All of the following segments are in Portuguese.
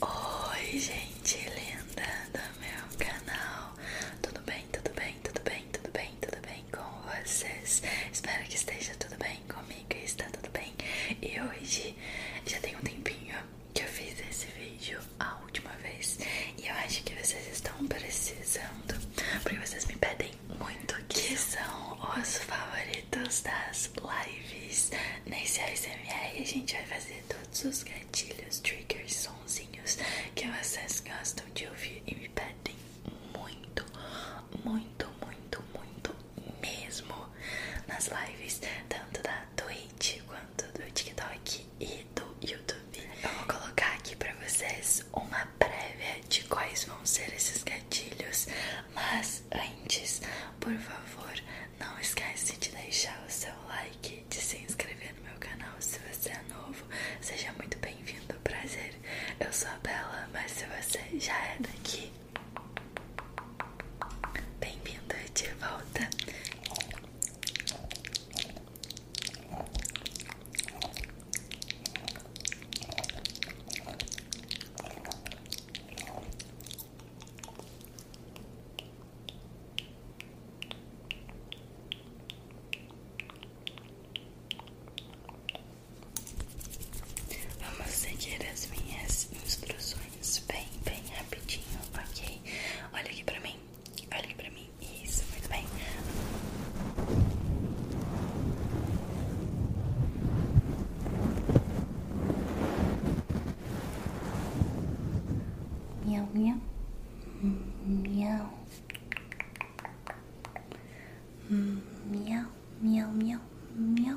Oi gente linda do meu canal, tudo bem, tudo bem, tudo bem, tudo bem, tudo bem com vocês? Espero que esteja tudo bem comigo e está tudo bem E hoje já tem um tempinho que eu fiz esse vídeo a última vez E eu acho que vocês estão precisando, porque vocês me pedem muito que são os favoritos das as lives nesse ASMR a gente vai fazer todos os gatilhos, triggers, sonzinhos que vocês gostam de ouvir e me pedem muito, muito, muito, muito mesmo nas lives, tanto da Twitch quanto do TikTok e do YouTube. Eu vou colocar aqui pra vocês uma prévia de quais vão ser esses gatilhos mas antes, por favor, não esquece de deixar o seu like, de se inscrever no meu canal se você é novo. Seja muito bem-vindo, prazer. Eu sou a Bela, mas se você já é daqui, bem-vindo de volta. Vamos seguir as minhas instruções bem, bem rapidinho, ok? Olha aqui pra mim, olha aqui pra mim, isso, muito bem. 喵喵，嗯喵，嗯喵喵喵喵。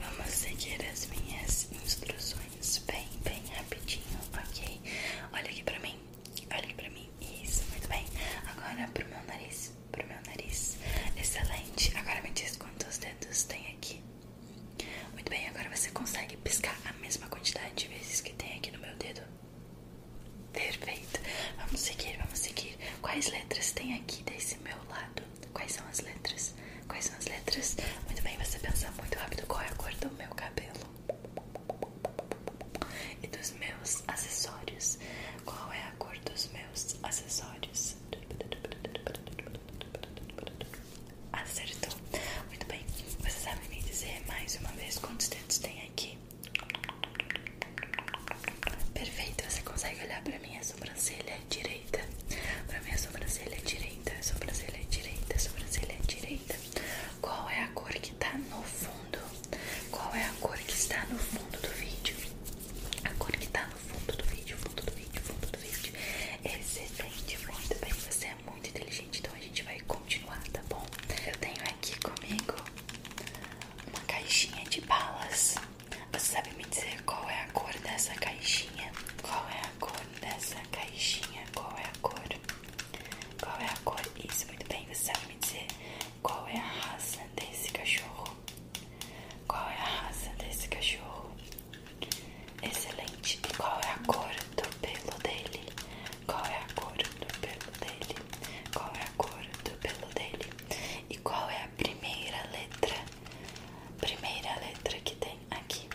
Vamos seguir as minhas instruções bem, bem rapidinho, ok? Olha aqui pra mim, olha aqui pra mim, isso, muito bem Agora pro meu nariz, pro meu nariz, excelente Agora me diz quantos dedos tem aqui Muito bem, agora você consegue piscar a mesma quantidade de vezes que tem aqui no meu dedo Perfeito. Vamos seguir, vamos seguir. Quais letras tem aqui desse meu lado? Quais são as letras? Quais são as letras? Muito bem, você pensa muito rápido qual é a cor do meu cabelo e dos meus acessórios. Qual é a cor dos meus acessórios? Acertou. Muito bem. Você sabe me dizer mais uma vez quantos dentes tem aqui? Perfeito, você consegue olhar pra minha sobrancelha direita? Pra minha sobrancelha direita, sobrancelha direita, sobrancelha direita. Qual é a cor que tá no fundo? Qual é a cor que está no fundo do vídeo? A cor que tá no fundo do vídeo, fundo do vídeo, fundo do vídeo. Excelente, muito bem. Você é muito inteligente, então a gente vai continuar, tá bom? Eu tenho aqui comigo uma caixinha de balas. Você sabe me dizer qual é a cor dessa caixinha? Qual é a cor dessa caixinha? Qual é a cor? Qual é a cor? Isso, muito bem. Você sabe me dizer qual é a raça desse cachorro? Qual é a raça desse cachorro? Excelente. E qual é a cor do pelo dele? Qual é a cor do pelo dele? qual é a cor do pelo dele e qual é a primeira letra, primeira letra que tem aqui,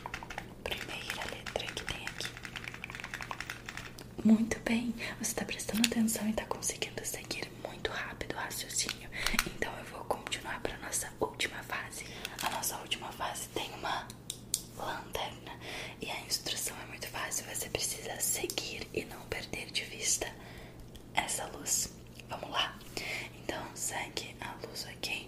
primeira letra que tem aqui. Muito bem, você está prestando atenção e está conseguindo seguir muito rápido o raciocínio. Então eu vou continuar para nossa última fase. A nossa última fase tem uma lanterna. E a instrução é muito fácil, você precisa seguir e não perder de vista essa luz. Vamos lá? Então segue a luz aqui.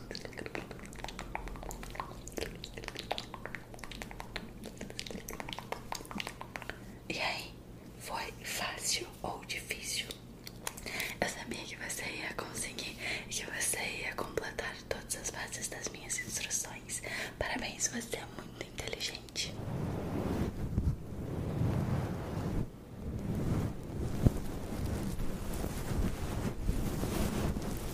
E aí, foi fácil ou difícil? Eu sabia que você ia conseguir e que você ia completar todas as bases das minhas instruções. Parabéns, você é muito inteligente.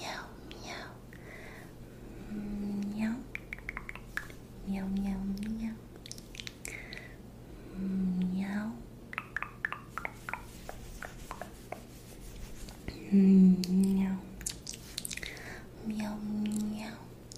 喵喵，喵喵喵，喵喵喵，喵喵喵喵。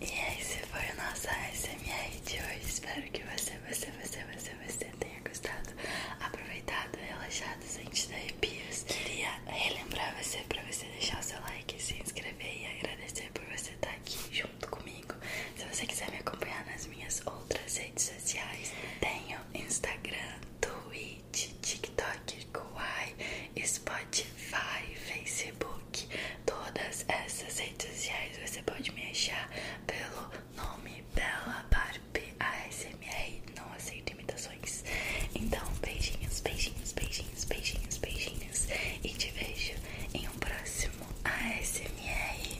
E esse é foi o nosso ASMR de hoje. Espero que você, você, você, você, você tenha gostado, aproveitado, relaxado, sem te dar arrepios. Queria relembrar você para você deixar o seu like, se inscrever e agradecer por você estar tá aqui junto comigo. Se você quiser me acompanhar nas minhas outras redes sociais, tenho Instagram, Twitch, TikTok, Kawaii, Spotify, Facebook todas essas redes sociais você pode me achar pelo nome Bela Barbie ASMR. Não aceito imitações. Então, beijinhos, beijinhos, beijinhos, beijinhos, beijinhos. E te vejo em um próximo ASMR.